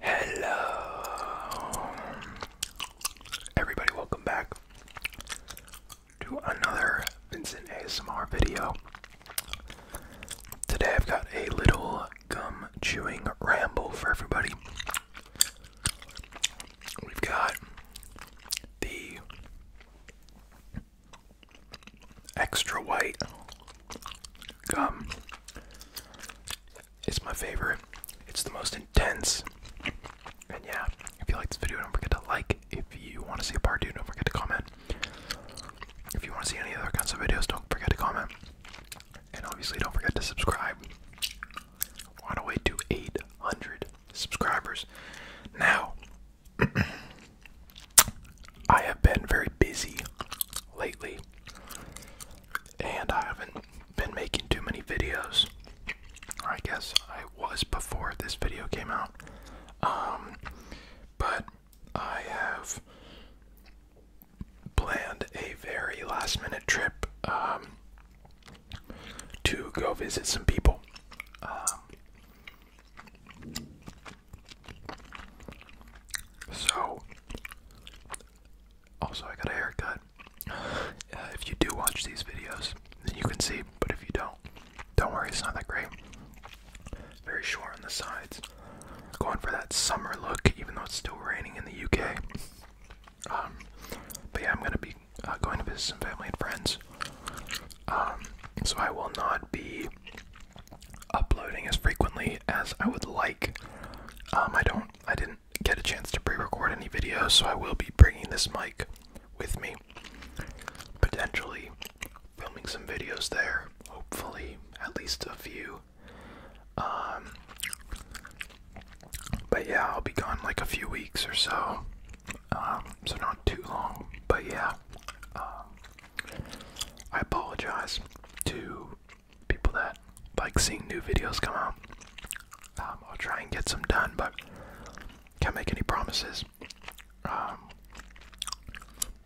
Hello, everybody, welcome back to another Vincent ASMR video. Today I've got a little gum chewing ramble for everybody. We've got the extra white gum it's my favorite. It's the most intense. And yeah, if you like this video, don't forget to like. If you want to see a part two, don't forget to comment. If you want to see any other kinds of videos, don't forget to comment. And obviously, don't forget to subscribe. We're on our to 800 subscribers. Now, I have been very busy lately. And I haven't been making too many videos. I guess I was before this video came out. Um, but I have planned a very last minute trip um, to go visit some people. Um, so also, I got a haircut. if you do watch these videos, then you can see, but if you don't, don't worry, it's not that great. Very short on the sides. Going for that summer look, even though it's still raining in the UK. Um, but yeah, I'm gonna be uh, going to visit some family and friends. Um, so I will not be uploading as frequently as I would like. Um, I don't I didn't get a chance to pre-record any videos, so I will be bringing this mic with me. Potentially filming some videos there, hopefully at least a few. Um, but yeah, I'll be gone like a few weeks or so, um, so not too long. But yeah, um, I apologize to people that like seeing new videos come out. Um, I'll try and get some done, but can't make any promises. Um,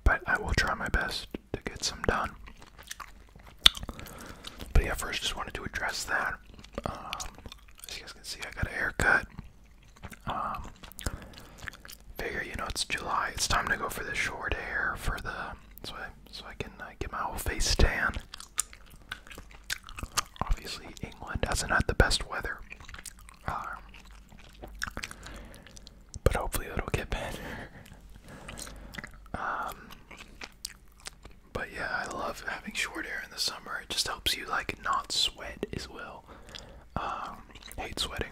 but I will try my best to get some done. But yeah, first just wanted to address that. Um, as you guys can see, I got a haircut. figure you know it's July. It's time to go for the short hair for the so I can uh, get my whole face tan. Obviously, England hasn't had the best weather. Uh, but hopefully it'll get better. Um, but yeah, I love having short hair in the summer. It just helps you like not sweat as well. Um, hate sweating.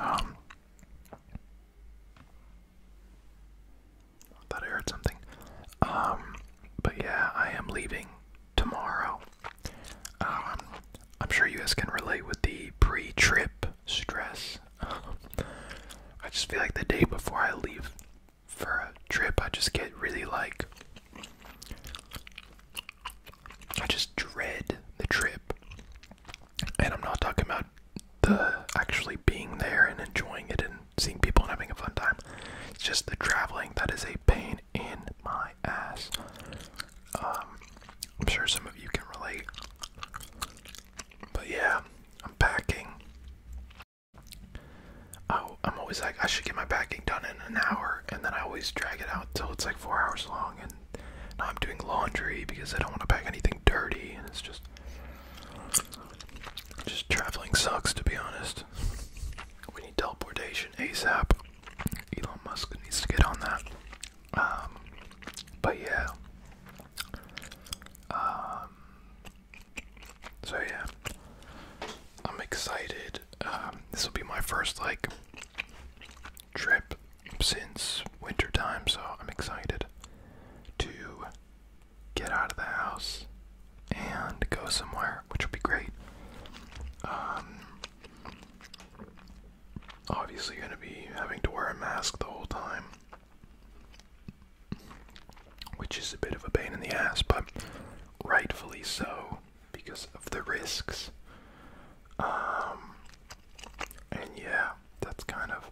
Um, I thought I heard something. Um, but yeah, I am leaving tomorrow. Um, I'm sure you guys can relate with the pre-trip stress. I just feel like the day before I leave for a trip, I just get really like. I just dread the trip. And I'm not talking about the actually being there and enjoying it and seeing people and having a fun time. It's just the traveling that is a pain in my ass. Um, I'm sure some of you can relate. But yeah, I'm packing. Oh, I'm always like, I should get my packing done in an hour, and then I always drag it out till it's like four hours long. And I'm doing laundry because I don't want to pack anything dirty, and it's just just traveling sucks, to be honest. We need teleportation ASAP. Elon Musk needs to get on that. Um, but yeah. Um, so yeah, I'm excited. Um, this will be my first like trip since winter time, so I'm excited to get out of the house and go somewhere, which would be great. Um, obviously, going to be having to wear a mask the whole time, which is a bit of a pain in the ass, but rightfully so because of the risks. Um, and yeah, that's kind of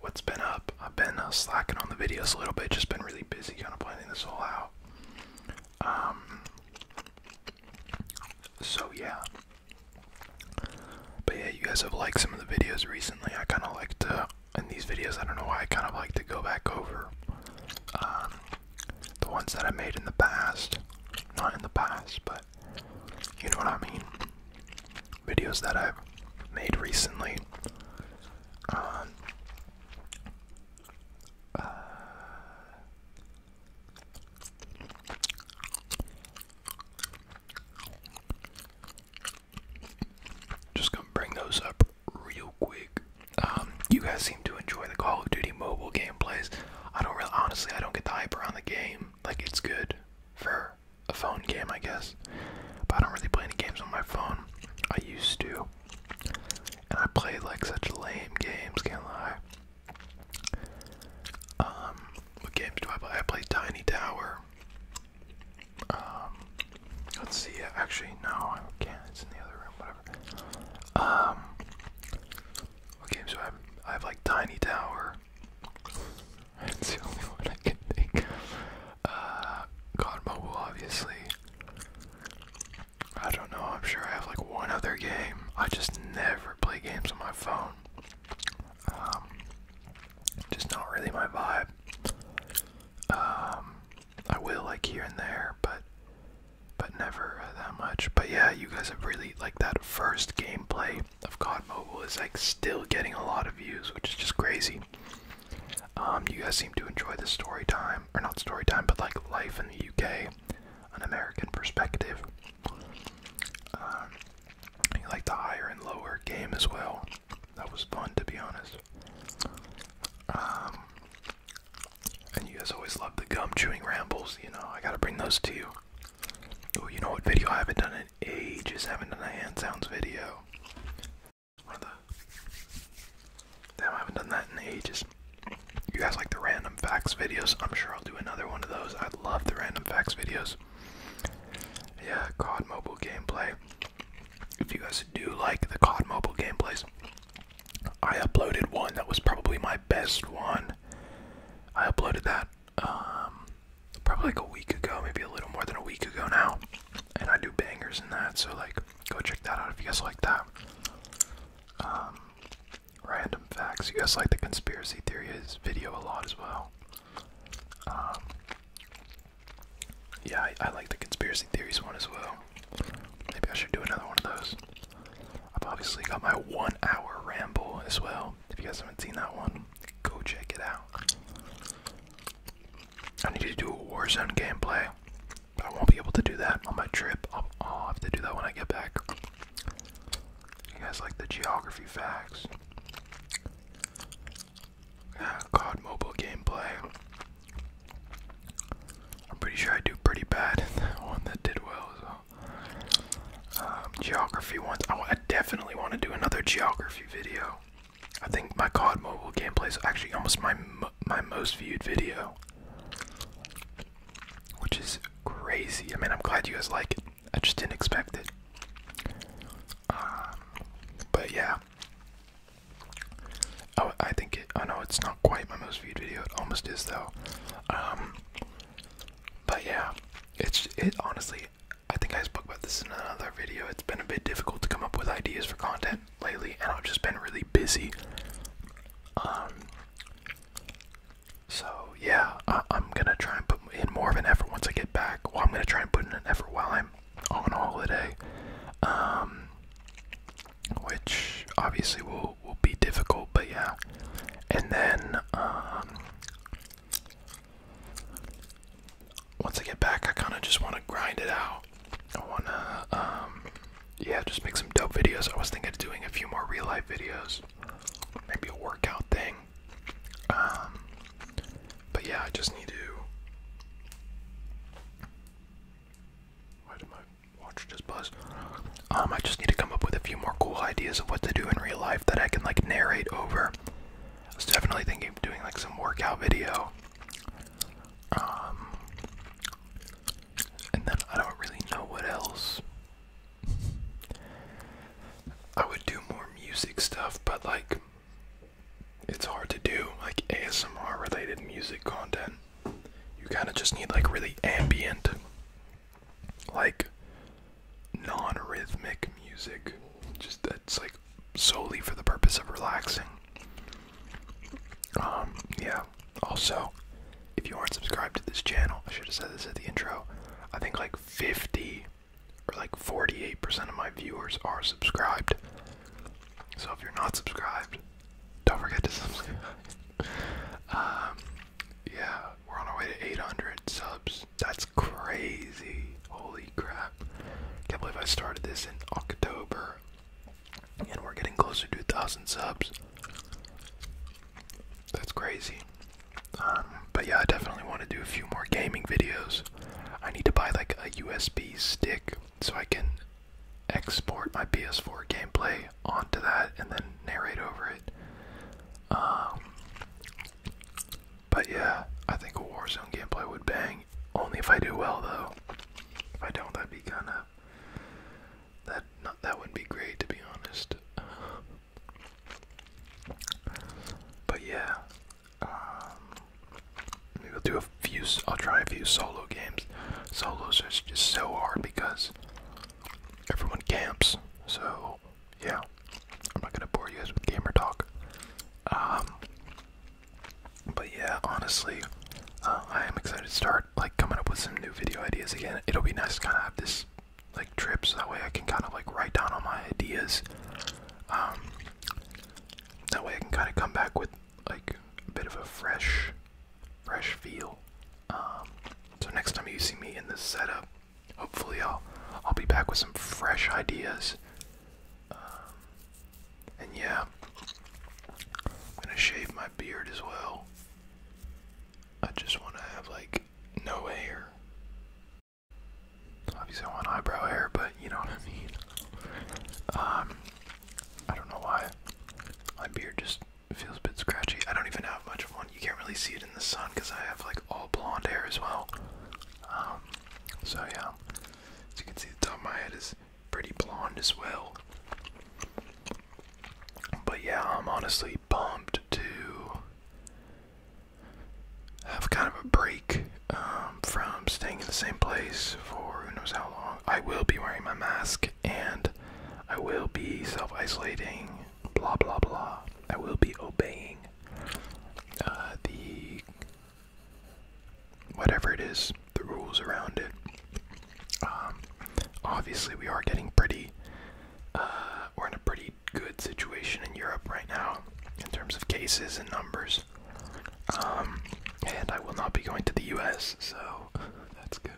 what's been up. I've been uh, slacking on the videos a little bit, just been really busy kind of planning this all out. Um, so yeah. But yeah, you guys have liked some of the videos recently. I kind of like to, in these videos, I don't know why, I kind of like to go back over um, the ones that I made in the past. Not in the past, but you know what I mean videos that I've made recently. Um, uh, just gonna bring those up real quick. Um, you guys seem to enjoy the Call of Duty mobile gameplays. I don't really, honestly, I don't get the hype around the game. Like it's good for a phone game, I guess. But I don't really play any games on my phone. I used to. And I play like such lame games, can't lie. Um, what games do I play? I play Tiny Tower. Um, let's see. Actually, no, I can It's in the other room. Whatever. Um, what games do I? Have? I have like Tiny Tower. That's the only one I can think. Uh, COD Mobile, obviously. I don't know, I'm sure I have like one other game. I just never play games on my phone. Um, just not really my vibe. Um, I will like here and there, but but never uh, that much. But yeah, you guys have really like that first gameplay of God Mobile is like still getting a lot of views, which is just crazy. Um, you guys seem to enjoy the story time, or not story time, but like life in the UK, an American perspective. Um, you like the higher and lower game as well. That was fun, to be honest. Um, and you guys always love the gum chewing rambles. You know, I gotta bring those to you. Oh, you know what video I haven't done in ages? Haven't done a hand sounds video. Damn, I haven't done that in ages. You guys like the random facts videos? I'm sure I'll do another one of those. I love the random facts videos. Yeah, COD mobile gameplay. If you guys do like the COD mobile gameplays, I uploaded one that was probably my best one. I uploaded that um, probably like a week ago, maybe a little more than a week ago now. And I do bangers in that, so like go check that out if you guys like that. Um, random facts. You guys like the conspiracy theories video a lot as well. Um, yeah, I, I like the conspiracy theories one as well. Maybe I should do another one of those. I've obviously got my one hour ramble as well. If you guys haven't seen that one, go check it out. I need to do a Warzone gameplay, but I won't be able to do that on my trip. I'll, i have to do that when I get back. You guys like the geography facts? Yeah, COD mobile gameplay. I'm pretty sure I do pretty bad one that did well. So. Um, geography ones. I definitely want to do another geography video. I think my COD mobile gameplay is actually almost my my most viewed video, which is crazy. I mean, I'm glad you guys like it. I just didn't expect it. Um, but yeah. Oh, I think it. Oh no, it's not quite my most viewed video. It almost is though. Um, but yeah, it's it honestly I think I spoke about this in another video. It's been a bit difficult to come up with ideas for content lately, and I've just been really busy. Um, so yeah, I am gonna try and put in more of an effort once I get back. Well, I'm gonna try and put in an effort while I'm on holiday, um, which obviously will will be difficult. But yeah, and then um, once I get back, I kind of just want to grind it out. I want to, um, yeah, just make some dope videos. I was thinking of doing a few more real life videos, maybe a workout thing. Um, but yeah, I just need to. Why did my watch just buzz? Um, I just need to come up with a few more cool ideas of what to do in real life that I can like narrate over. I was definitely thinking of doing like some workout video. Um, and then I don't really know what else. I would do more music stuff, but like, it's hard to do like ASMR related music content. You kind of just need like really ambient, like non rhythmic music. Just that's like solely for the purpose of relaxing. Um, yeah. Also, if you aren't subscribed to this channel, I should have said this at the intro. I think like 50 or like 48% of my viewers are subscribed. So if you're not subscribed, don't forget to subscribe. Um, yeah, we're on our way to 800 subs. That's crazy. Holy Holy crap. Can't believe I started this in October. And we're getting closer to 1,000 subs. That's crazy. Um, but yeah, I definitely want to do a few more gaming videos. I need to buy like a USB stick so I can export my PS4 gameplay onto that and then narrate over it. Um, but yeah, I think a Warzone gameplay would bang only if I do well, though. If I don't, that'd be kind of that. that would be great, to be honest. But yeah, um, maybe I'll do a few. I'll try a few solo games. Solos are just so hard because everyone camps. So yeah, I'm not gonna bore you guys with gamer talk. Um, but yeah, honestly, uh, I am excited to start like coming up with some new video ideas again. It'll be nice to kind of have this like trip, so that way I can kind of like write down all my ideas. Um, that way I can kind of come back with like a bit of a fresh, fresh feel. Um, so next time you see me in this setup, hopefully I'll I'll be back with some fresh ideas. Um, and yeah, I'm gonna shave my beard as well. I just want to have like no hair. Obviously, I want eyebrow hair, but you know what I mean. Um, I don't know why my beard just feels a bit scratchy. I don't even have much of one. You can't really see it in the sun because I have like all blonde hair as well. Um, so yeah, as you can see, the top of my head is pretty blonde as well. But yeah, I'm honestly bummed to have kind of a break um, from staying in the same place for who knows how long. I will be wearing my mask and I will be self isolating, blah blah blah. I will be obeying uh, the whatever it is, the rules around it. Um, obviously, we are getting pretty. Uh, we're in a pretty good situation in Europe right now in terms of cases and numbers. Um, and I will not be going to the U.S., so that's good.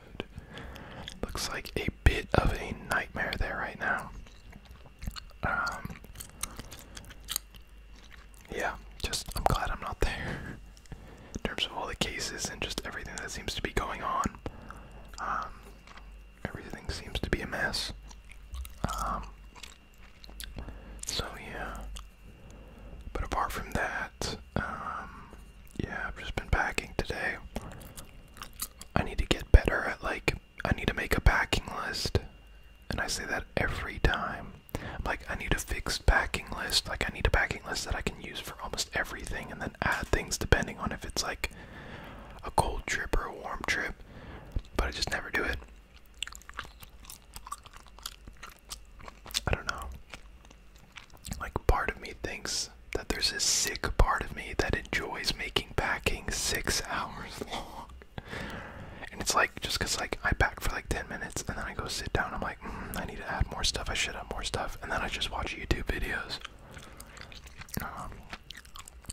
Looks like a bit of a nightmare there right now. Um, yeah, just I'm glad I'm not there. In terms of all the cases and just everything that seems to be going on, um, everything seems to be a mess. Um, so yeah. But apart from that, um, yeah, I've just been packing today. I need to get better at like I need to make a packing list, and I say that every time like, I need a fixed packing list. Like, I need a packing list that I can use for almost everything and then add things depending on if it's like a cold trip or a warm trip. But I just never do it. I don't know. Like, part of me thinks that there's a sick part of me that enjoys making packing six hours long and it's like just because like I pack for like 10 minutes and then I go sit down. I'm like, mm, I need to add more stuff. I should add more stuff, and then I just watch YouTube videos. Um,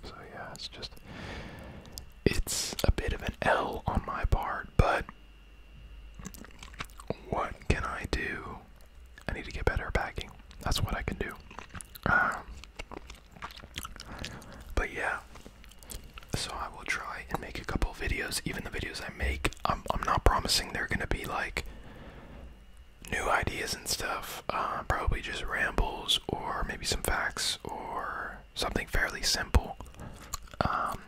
so yeah, it's just it's a bit of an L on my part, but what can I do? I need to get better at That's what I can do. Um, but yeah, so I will try and make a couple videos. Even the videos I make, I'm, I'm not promising they're gonna be like new ideas and stuff. Uh, probably just rambles or maybe some facts or something fairly simple. Um,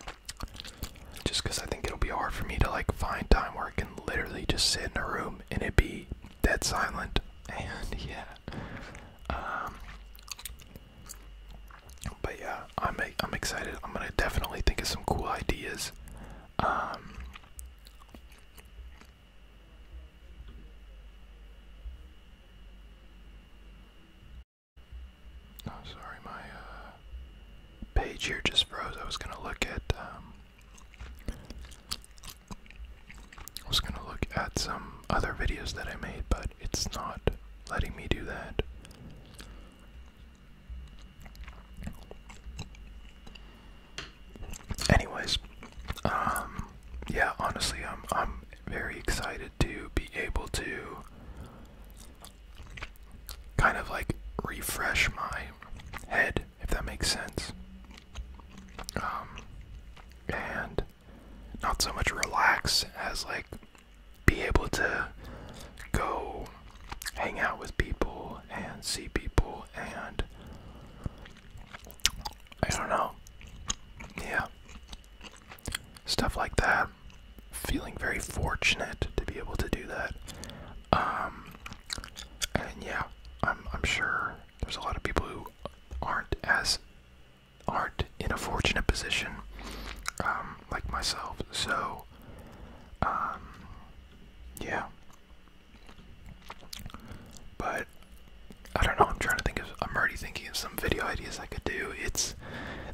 just because I think it'll be hard for me to like find time where I can literally just sit in a room and it be dead silent. And yeah. Um, but yeah, I'm I'm excited. I'm gonna definitely think of some cool ideas. Um, oh, sorry, my uh, page here just froze. I was gonna look at. Um, I was gonna look at some other videos that I made, but it's not letting me do that. Anyways, um, yeah, honestly, I'm I'm very excited to be able to kind of like refresh my head, if that makes sense. Um, and not so much relax as like be able to go hang out with people and see people and I don't know. Yeah. Stuff like that. Feeling very fortunate to be able to do that. Um, and yeah, I'm I'm sure there's a lot of people who aren't as aren't in a fortunate position. Um, like myself. So, um, yeah. But I don't know. I'm trying to think of. I'm already thinking of some video ideas I could do. It's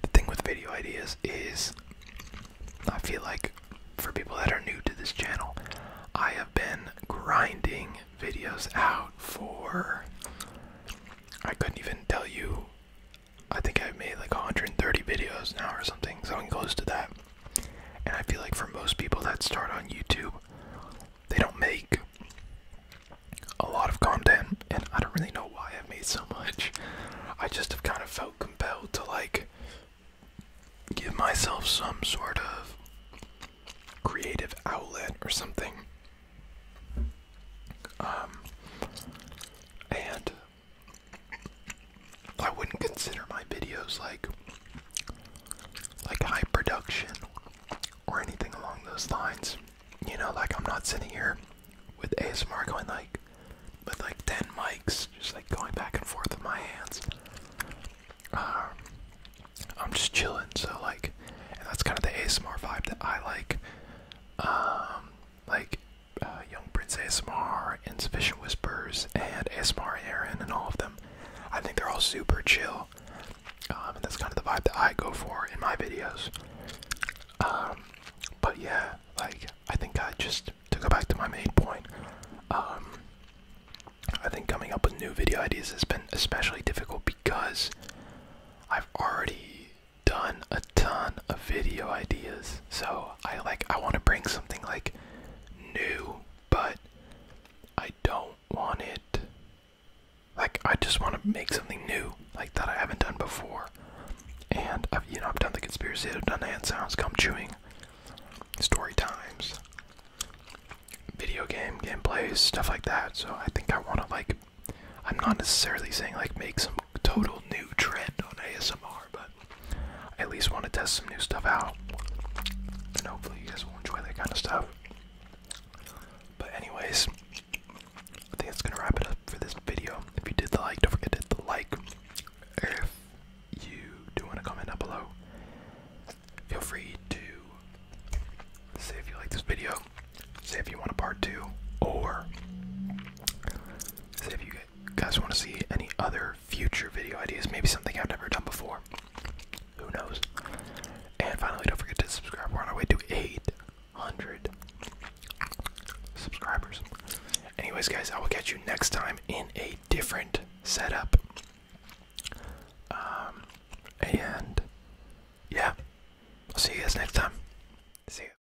the thing with video ideas is I feel like for people that are new to this channel, I have been grinding videos out for. I couldn't even tell you I think I've made like 130 videos now or something, something close to that. And I feel like for most people that start on YouTube, they don't make a lot of content, and I don't really know why I've made so much. I just have kind of felt compelled to like give myself some sort of creative outlet or something. Um, and I wouldn't consider my videos like like high production or anything along those lines. You know, like I'm not sitting here with ASMR going like with like 10 mics, just like going back and forth with my hands. Um, I'm just chilling, so like, and that's kind of the ASMR vibe that I like. Um, like uh, Young Prince ASMR insufficient Whispers and ASMR Aaron and all of them. I think they're all super chill. Um, and that's kind of the vibe that I go for in my videos. Um, but yeah, like I think I just to go back to my main point. Um, I think coming up with new video ideas has been especially difficult because I've already done a ton of video ideas. So I like I want to bring something like new, but I don't want it like I just want to make something new like that I haven't done before. And you know I've done the conspiracy, I've done hand sounds, gum chewing, story times, video game gameplays, stuff like that. So I think I want to like I'm not necessarily saying like make some total new trend on ASMR, but I at least want to test some new stuff out. And hopefully you guys will enjoy that kind of stuff. But anyways, I think that's gonna wrap it up for this video. If you did the like, don't forget to hit the like. If you do want to comment down below, feel free to say if you like this video, say if you want a part two, or so if you guys want to see any other future video ideas, maybe something I've never done before, who knows? And finally, don't forget to subscribe. We're on our way to 800 subscribers. Anyways, guys, I will catch you next time in a different setup. Um, and yeah, I'll see you guys next time. See you.